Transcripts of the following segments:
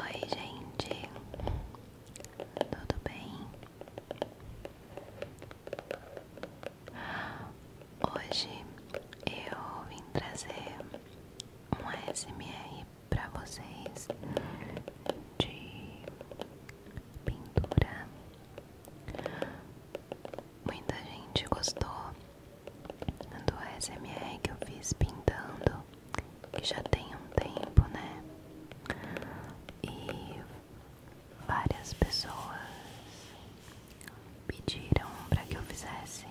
Oi, gente, tudo bem? Hoje eu vim trazer um SMR para vocês de pintura. Muita gente gostou do SMR que eu fiz pintando, que já tem um tempo, né? E várias pessoas pediram para que eu fizesse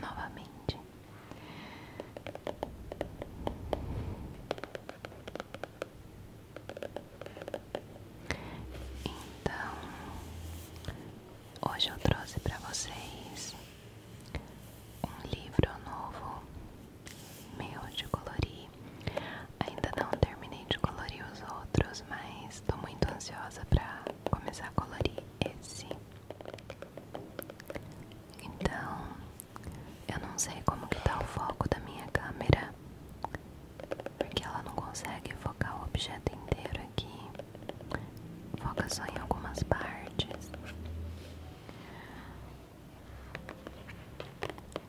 novamente. Então, hoje eu trouxe para vocês um livro novo meio de colorir. Ainda não terminei de colorir os outros, mas tô muito ansiosa pra começar a colorir esse. Então, eu não sei como que tá o foco da minha câmera, porque ela não consegue focar o objeto inteiro aqui. Foca só em algumas partes.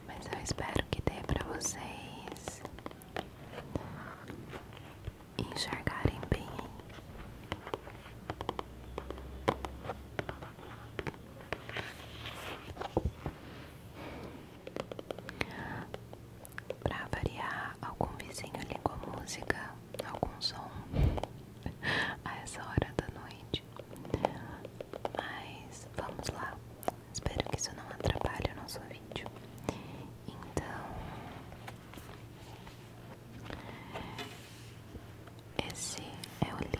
Mas eu espero que dê para vocês enxergarem bem. Para variar, algum vizinho ligou música, algum som a essa hora da noite. Mas vamos lá, Espero que isso não atrapalhe o nosso vídeo. Então, esse é o livro.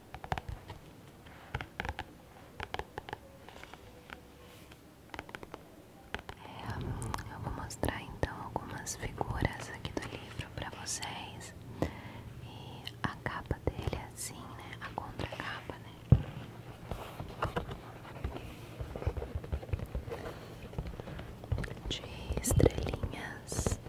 É, eu vou mostrar então algumas figuras aqui do livro para vocês. E a capa dele é assim, né? A contracapa, né? De estrelinhas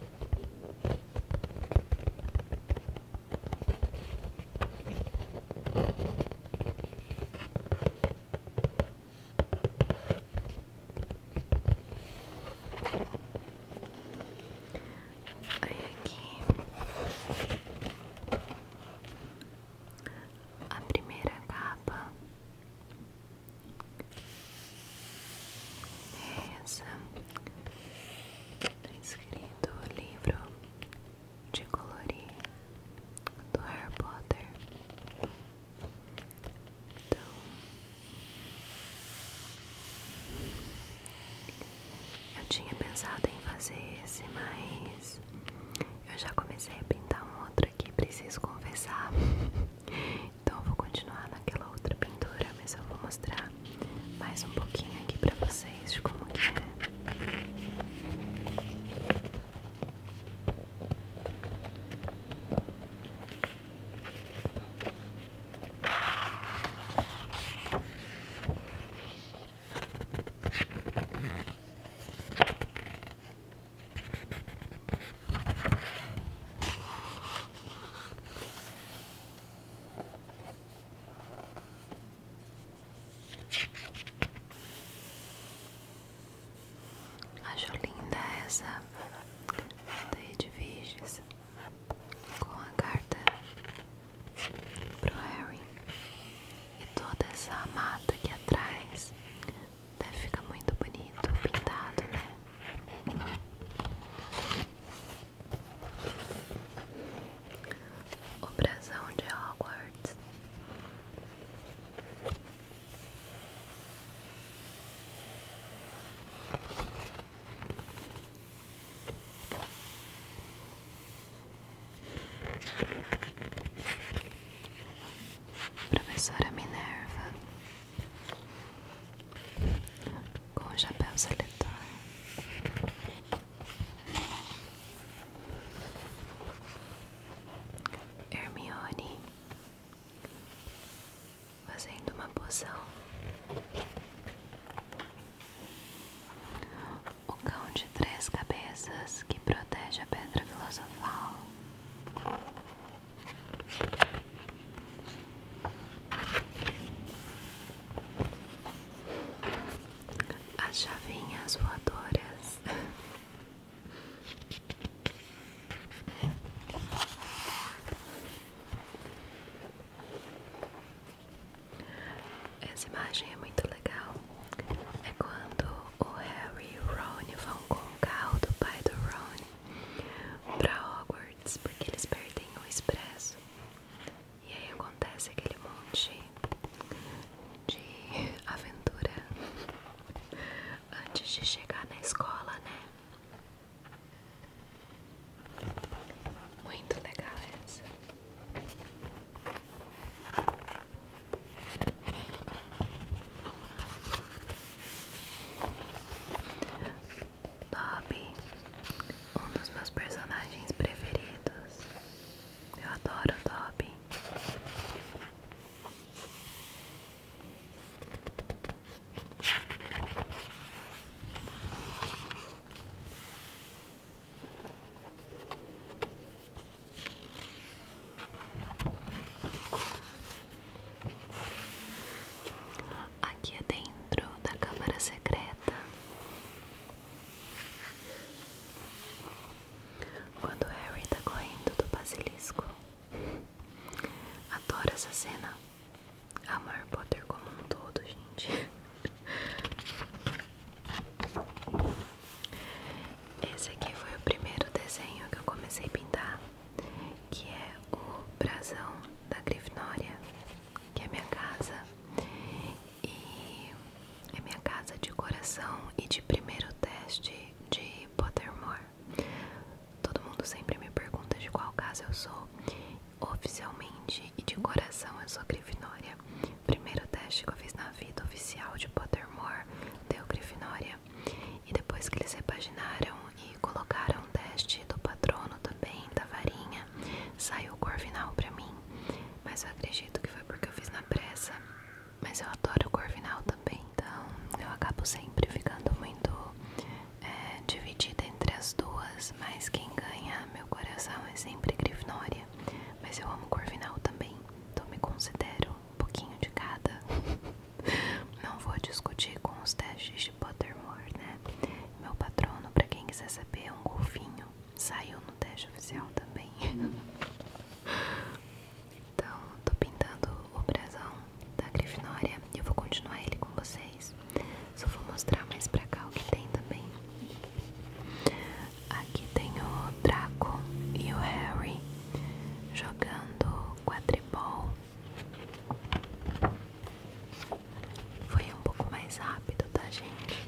aqui a primeira capa Reza. Está escrito o livro de colorir do Harry Potter. Então, eu tinha pensado em fazer esse, mas eu já comecei a pintar um outro aqui, preciso confessar. Então vou continuar naquela outra pintura, mas eu vou mostrar mais um pouquinho aqui pra vocês de como é. Acho linda essa daí de virgens com a carta pro Harry e toda essa mata aqui atrás deve ficar muito bonito pintado, né? O brasão de Hogwarts. Professora Minerva com o chapéu seletor. Hermione fazendo uma poção. O cão de três cabeças que protege a pedra filosofal. As chavinhas voadoras. Essa imagem é muito legal. É quando o Harry e o Ron vão com o carro do pai do Ron pra Hogwarts, porque eles perdem o expresso. E aí acontece aquele monte de aventura antes de chegar na escola, né? Muito legal essa. Bob, um dos meus personagens preferidos. Eu adoro Bob aqui é dentro da Câmara Secreta. Quando Harry tá correndo do basilisco. Adoro essa cena. Amo Harry Potter como um todo, gente. Esse aqui foi o primeiro desenho que eu comecei a pintar, que é o brasão da Grifinória que é minha casa e é minha casa de coração e de primeiro teste de Pottermore. Todo mundo sempre me pergunta de qual casa eu sou. Oficialmente e de coração eu sou Grifinória. Primeiro teste que eu fiz na vida oficial de Pottermore deu Grifinória. E depois que eles repaginaram e colocaram o teste do patrono também, da varinha Saiu o Corvinal pra mim, mas eu acredito que foi porque eu fiz na pressa. Mas eu adoro o Corvinal também, então eu acabo sempre ficando muito é, dividida entre as duas. Mas quem ganha meu coração é sempre Grifinória. Mas eu amo Corvinal também, então me considero um pouquinho de cada. Não vou discutir com os testes de Pottermore, né? Meu patrono, pra quem quiser saber, é um golfinho. Saiu no teste oficial também. então, tô pintando o brasão da Grifinória e eu vou continuar ele com vocês. Só vou mostrar mais pra cá o que tem também. Aqui tem o Draco e o Harry jogando quadribol. Foi um pouco mais rápido, tá, gente?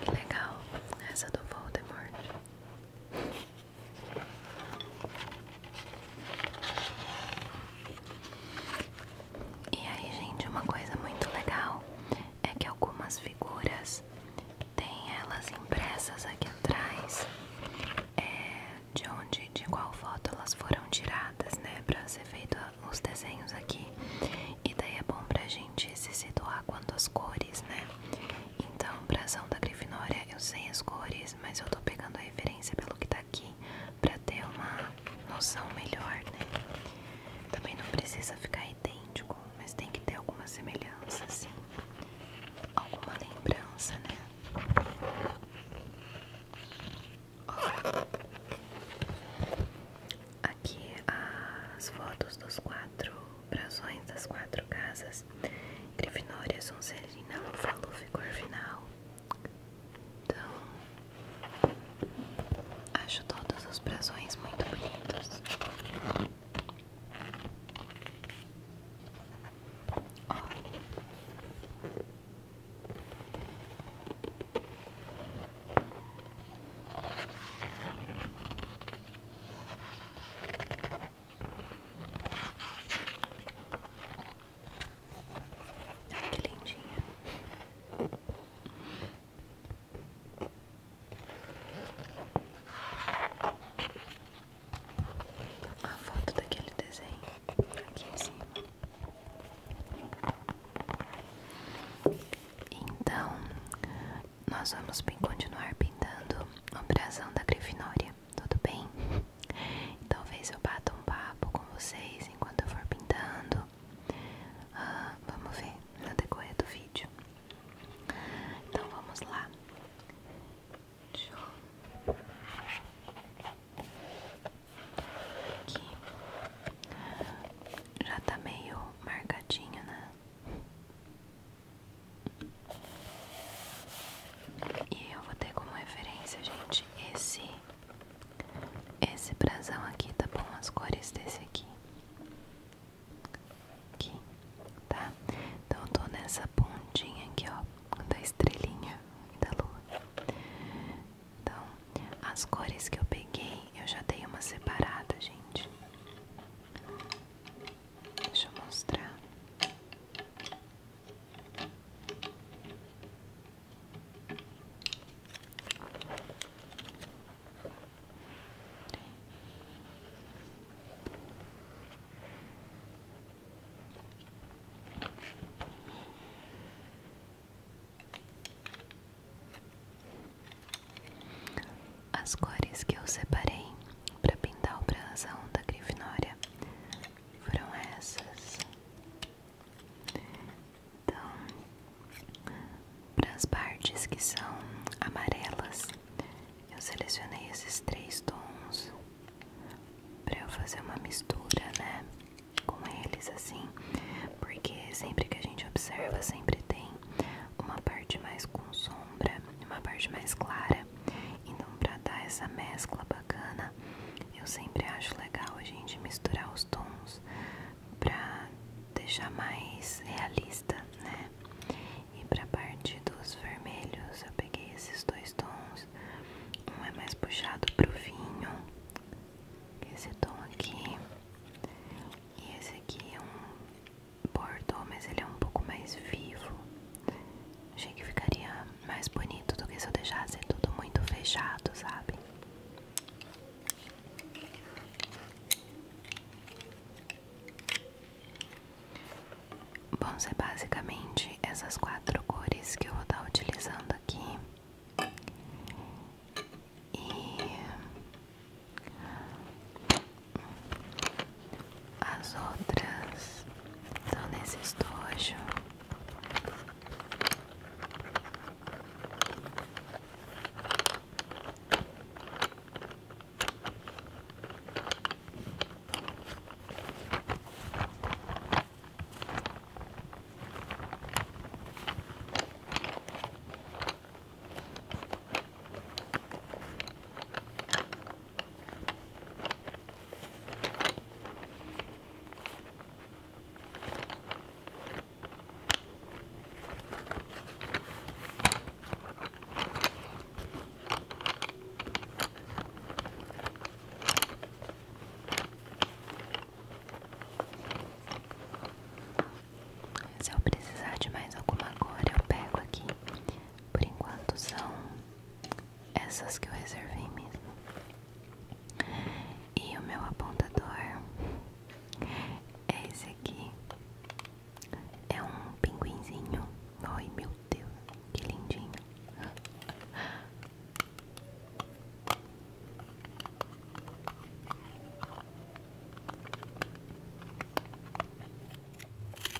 Que legal essa do Voldemort. E aí, gente, uma coisa muito legal é que algumas figuras têm elas impressas aqui atrás, é, de onde, de qual foto elas foram tiradas, né? para ser feito os desenhos aqui. E daí é bom para a gente se situar quanto às cores, né? Então, o ação da Grifinória, eu sei as cores, mas eu tô pegando a referência pelo que tá aqui, pra ter uma noção melhor, né? Também não precisa ficar idêntico, mas tem que ter alguma semelhança, assim. Alguma lembrança, né? Ó. Aqui as fotos dos quatro brasões das quatro casas, Grifinória, Sonserina, Lufa-Lufa e Corvinal. Então, acho todos os brasões muito bonitos que lindinha. A foto daquele desenho aqui em cima. Então, nós vamos continuar pintando o brasão da Grifinória, tudo bem? Talvez eu bata um papo com vocês enquanto eu for pintando. Ah, vamos ver no decorrer do vídeo. Então vamos lá. Aqui. Já tá meio marcadinho, né? E eu vou ter como referência, gente, esse esse brasão aqui, tá bom? As cores desse aqui. Aqui, tá? Então eu tô nessa pontinha aqui, ó, da estrelinha da lua. Então, as cores que eu peguei, eu já dei uma separada, gente. Deixa eu mostrar as cores que eu separei para pintar o brasão da Grifinória foram essas. Então, para as partes que são amarelas, eu selecionei esses três tons para eu fazer uma mistura, né, com eles assim, porque sempre que a gente observa, sempre tem uma parte mais com sombra, uma parte mais clara então, para dar essa mescla bacana, eu sempre acho legal a gente misturar os tons para deixar mais realista, né? E para a parte dos vermelhos, eu peguei esses dois tons. Um é mais puxado pro vinho, esse tom aqui. E esse aqui é um Bordeaux, mas ele é um pouco mais vivo. Achei que ficaria mais bonito do que se eu deixasse tudo muito fechado, sabe? Bom, são é basicamente essas quatro cores que eu vou estar utilizando aqui. E as outras estão nesse estojo. Se eu precisar de mais alguma agora, eu pego aqui por enquanto são essas que eu reservei mesmo. E o meu apontador é esse aqui. É um pinguinzinho. Ai meu Deus, que lindinho.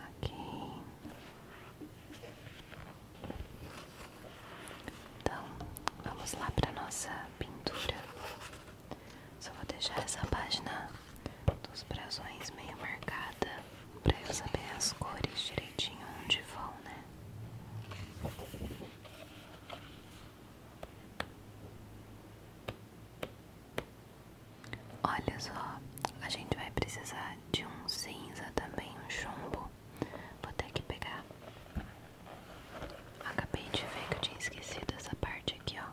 Aqui então vamos lá para nossa pintura. Só vou deixar essa página dos brasões meio marcada pra eu saber as cores direitinho onde vão, né? Olha só, a gente vai precisar de um cinza também, um chumbo. Vou ter que pegar Acabei de ver que eu tinha esquecido essa parte aqui, ó.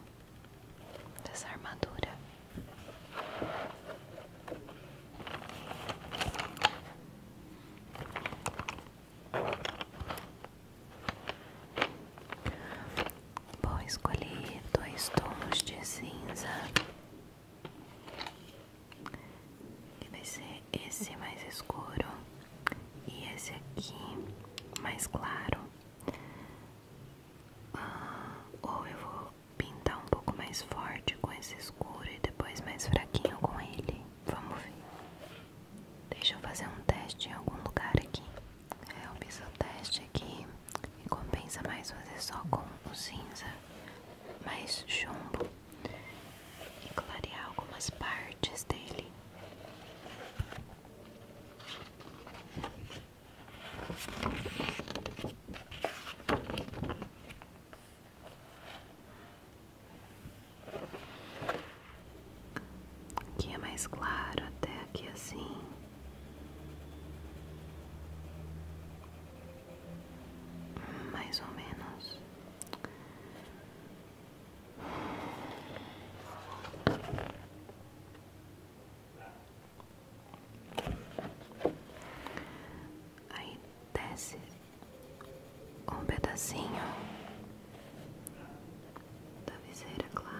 Dessa armadura. Bom, escolhi dois tons de cinza. Que vai ser esse mais escuro e esse aqui mais claro. Ah, ou eu vou pintar um pouco mais forte com esse escuro e depois mais fraquinho com ele. Vamos ver. Deixa eu fazer um teste em algum lugar aqui. É, eu fiz o teste aqui e compensa mais fazer só com o cinza mais chumbo e clarear algumas partes dele. Aqui é mais claro, até aqui assim. Mais ou menos. Aí desce um pedacinho da viseira, claro.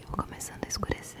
Eu vou começando a escurecer.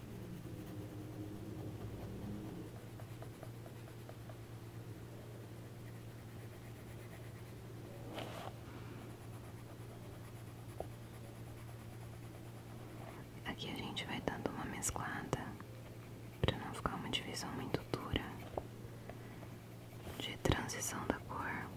Aqui a gente vai dando uma mesclada para não ficar uma divisão muito dura de transição da cor.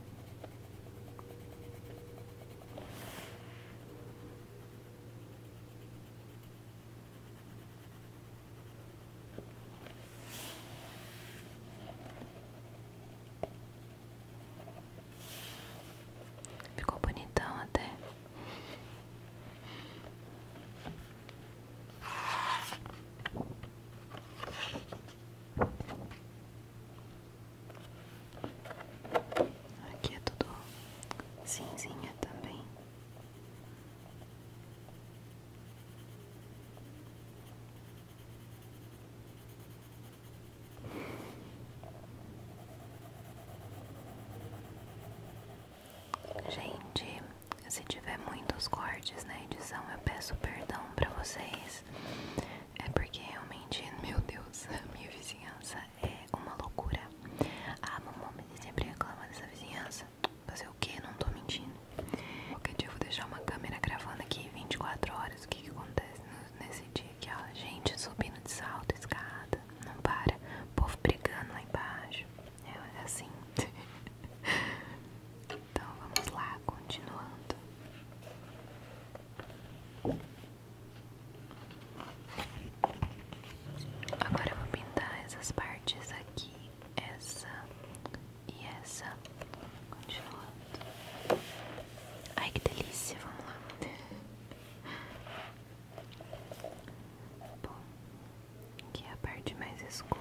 Ficou bonitão até. Aqui é tudo cinzinha também. Gente, se tiver muitos cortes na edição, eu peço perdão pra vocês. É porque realmente, meu Deus, a minha vizinhança é é uma loucura. A ah, mamãe sempre reclama dessa vizinhança. Fazer o que? Não tô mentindo. Qualquer dia eu vou deixar uma câmera gravando aqui 24 horas. O que, que acontece nesse dia aqui, ó? Gente subindo de salto, escada. Não para. O povo brigando lá embaixo. É, é assim. então vamos lá, continuando. Agora eu vou pintar essas partes aqui, essa e essa. Continuando. Ai que delícia, vamos lá. Bom, aqui é a parte mais escura.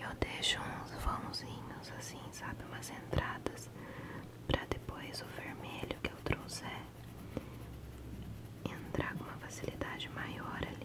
Eu deixo uns vãozinhos assim, sabe? Umas entradas para depois o vermelho que eu trouxer entrar com uma facilidade maior ali.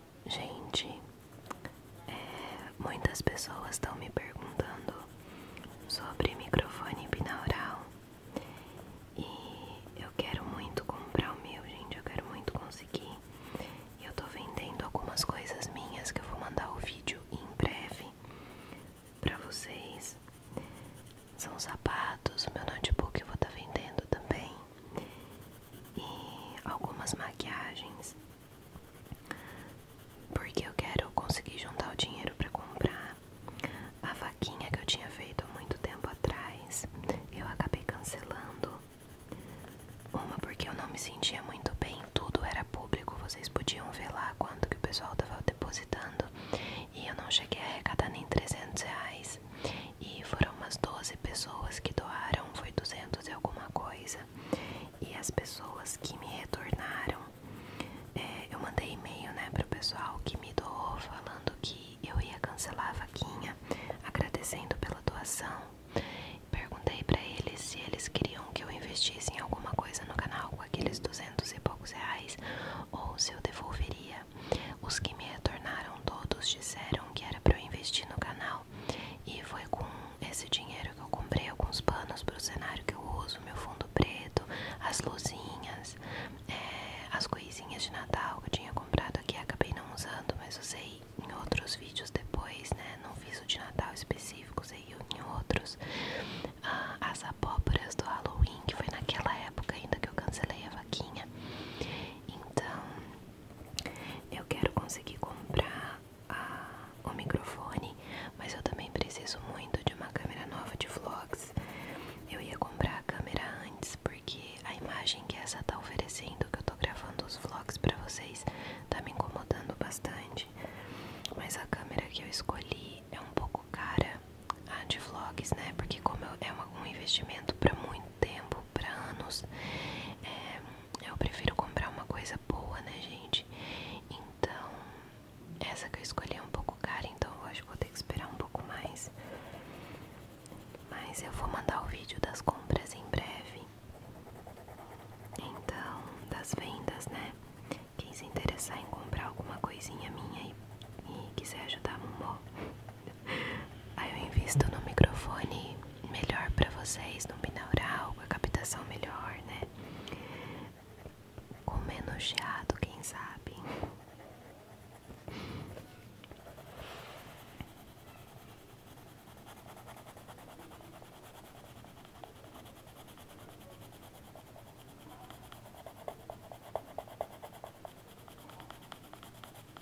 Gente, é, muitas pessoas estão me perguntando sobre microfone binaural e eu quero muito comprar o meu, gente. Eu quero muito conseguir. eu tô vendendo algumas coisas minhas que eu vou mandar o vídeo em breve pra vocês. São sapatos, meu notebook eu vou estar tá vendendo também e algumas maquiagens, porque eu quero conseguir juntar o dinheiro para comprar a vaquinha que eu tinha feito há muito tempo atrás. Eu acabei cancelando uma porque eu não me sentia muito bem, tudo era público, vocês podiam ver lá quanto que o pessoal tava depositando e eu não cheguei a arrecadar nem 300 reais. E foram umas 12 pessoas que doaram, foi 200 e alguma coisa. E as pessoas que me retornaram, é, eu mandei e-mail né, o pessoal que me doou falando que eu ia cancelar a vaquinha, agradecendo pela doação. Perguntei para eles se eles queriam que eu investisse em alguma coisa no canal com aqueles 200 e poucos reais ou se eu devolveria. Os que me retornaram todos disseram que era para eu investir no canal e foi com esse dinheiro que eu comprei alguns panos para o cenário que eu uso, meu fundo preto, as luzinhas, é, as coisinhas de Natal que eu tinha comprado aqui, acabei não usando, mas usei em outros vídeos depois, né? Não fiz o de Natal específico, usei em outros. Ah, as abóboras do Halloween, que foi naquela época ainda que eu cancelei a vaquinha. Então, eu quero conseguir comprar ah, o microfone, mas eu também preciso muito de uma câmera nova de vlogs. Eu ia comprar a câmera antes, porque a imagem que essa tá oferecendo, que eu tô gravando os vlogs pra vocês, tá me incomodando bastante. Mas a câmera que eu escolhi é um pouco cara, a de vlogs, né? Porque como é um investimento pra muito tempo, legal para anos. É, eu prefiro comprar uma coisa boa, né, gente? Então, essa que eu escolhi é um pouco cara, então eu acho que vou ter que esperar um pouco mais. Mas eu vou mandar o vídeo das compras em breve. Então, das vendas, né? Quem se interessar em comprar alguma coisinha minha e, quiser ajudar a Momó, Aí eu invisto no microfone melhor para vocês, no binaural, com a captação melhor, né? Com menos geado, quem sabe?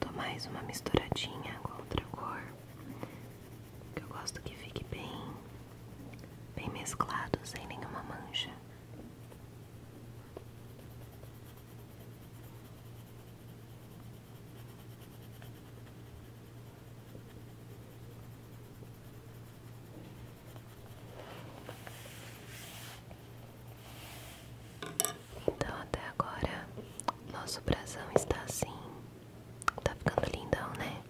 Dou mais uma misturadinha com outra cor, que eu gosto que fique bem, bem mesclado, sem nenhuma mancha. Então até agora nosso brasão está assim. Tá ficando lindão, né?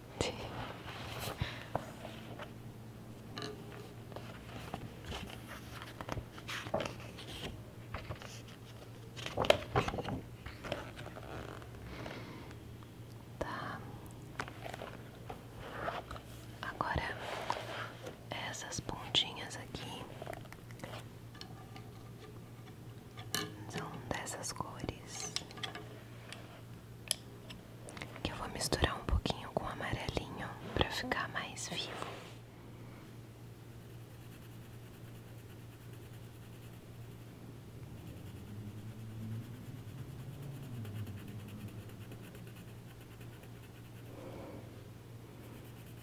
Tá. Agora essas pontinhas aqui são dessas cores que eu vou misturar um pouquinho com amarelinho para ficar mais vivo.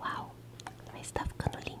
Uau, mas tá ficando lindo.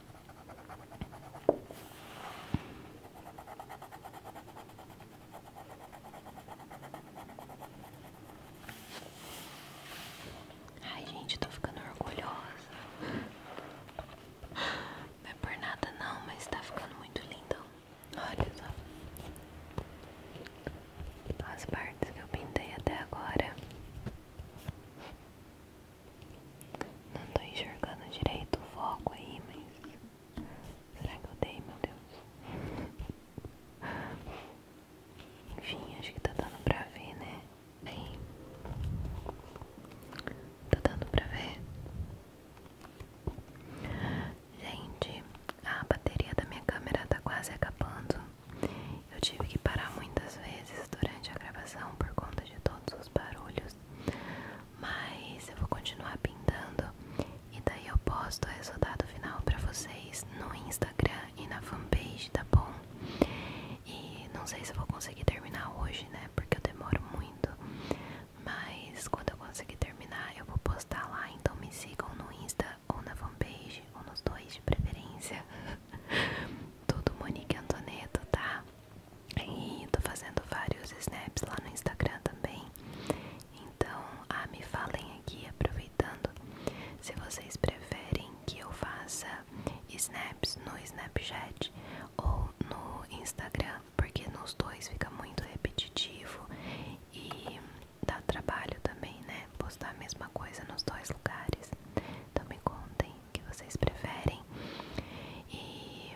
Ai, gente, tô ficando orgulhosa. Não é por nada, não, mas tá ficando muito lindo. Olha só as partes que eu pintei até agora. Não tô enxergando direito o foco aí, mas. Será que eu dei, meu Deus? Enfim, acho que tá dando pra ver, né? Aí. Tá dando pra ver? Gente, a bateria da minha câmera tá quase acabando. Eu tive que parar muitas vezes durante a gravação por conta de todos barulhos, mas eu vou continuar pintando e daí eu posto o resultado final para vocês no Instagram e na fanpage, tá bom? E não sei se eu vou conseguir terminar hoje, né? Porque eu demoro muito, mas quando eu conseguir terminar eu vou postar lá, então me sigam no Insta ou na fanpage ou nos dois de preferência. Tudo Monique Antoneto, tá? E tô fazendo vários snaps lá no Instagram também. Então, ah, me falem aqui, aproveitando, se vocês preferem que eu faça snaps no Snapchat ou no Instagram, porque nos dois fica muito repetitivo e dá trabalho também, né? Postar a mesma coisa nos dois lugares. Então me contem que vocês preferem. E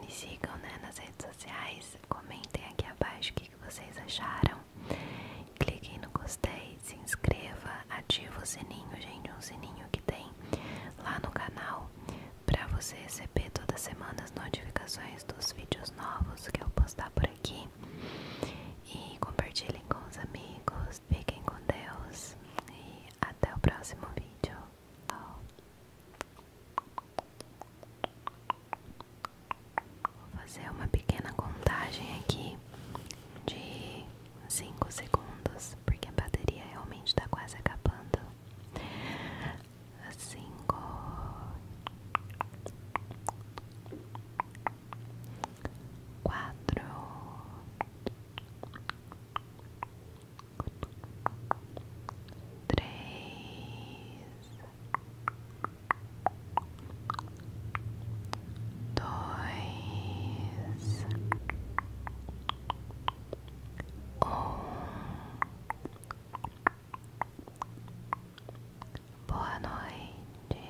me sigam né, nas redes sociais, comentem aqui abaixo o que, vocês acharam. Cliquem no gostei, se inscreva, ative o sininho, gente, um sininho que tem lá no canal para você receber todas as semanas notificações dos vídeos novos que eu postar por aqui. E compartilhem com os amigos, fiquem com Deus até o próximo vídeo. Vou fazer uma pequena contagem aqui de 5 segundos, porque a bateria realmente está quase acabando. 5 4 três, dois, um. Boa noite.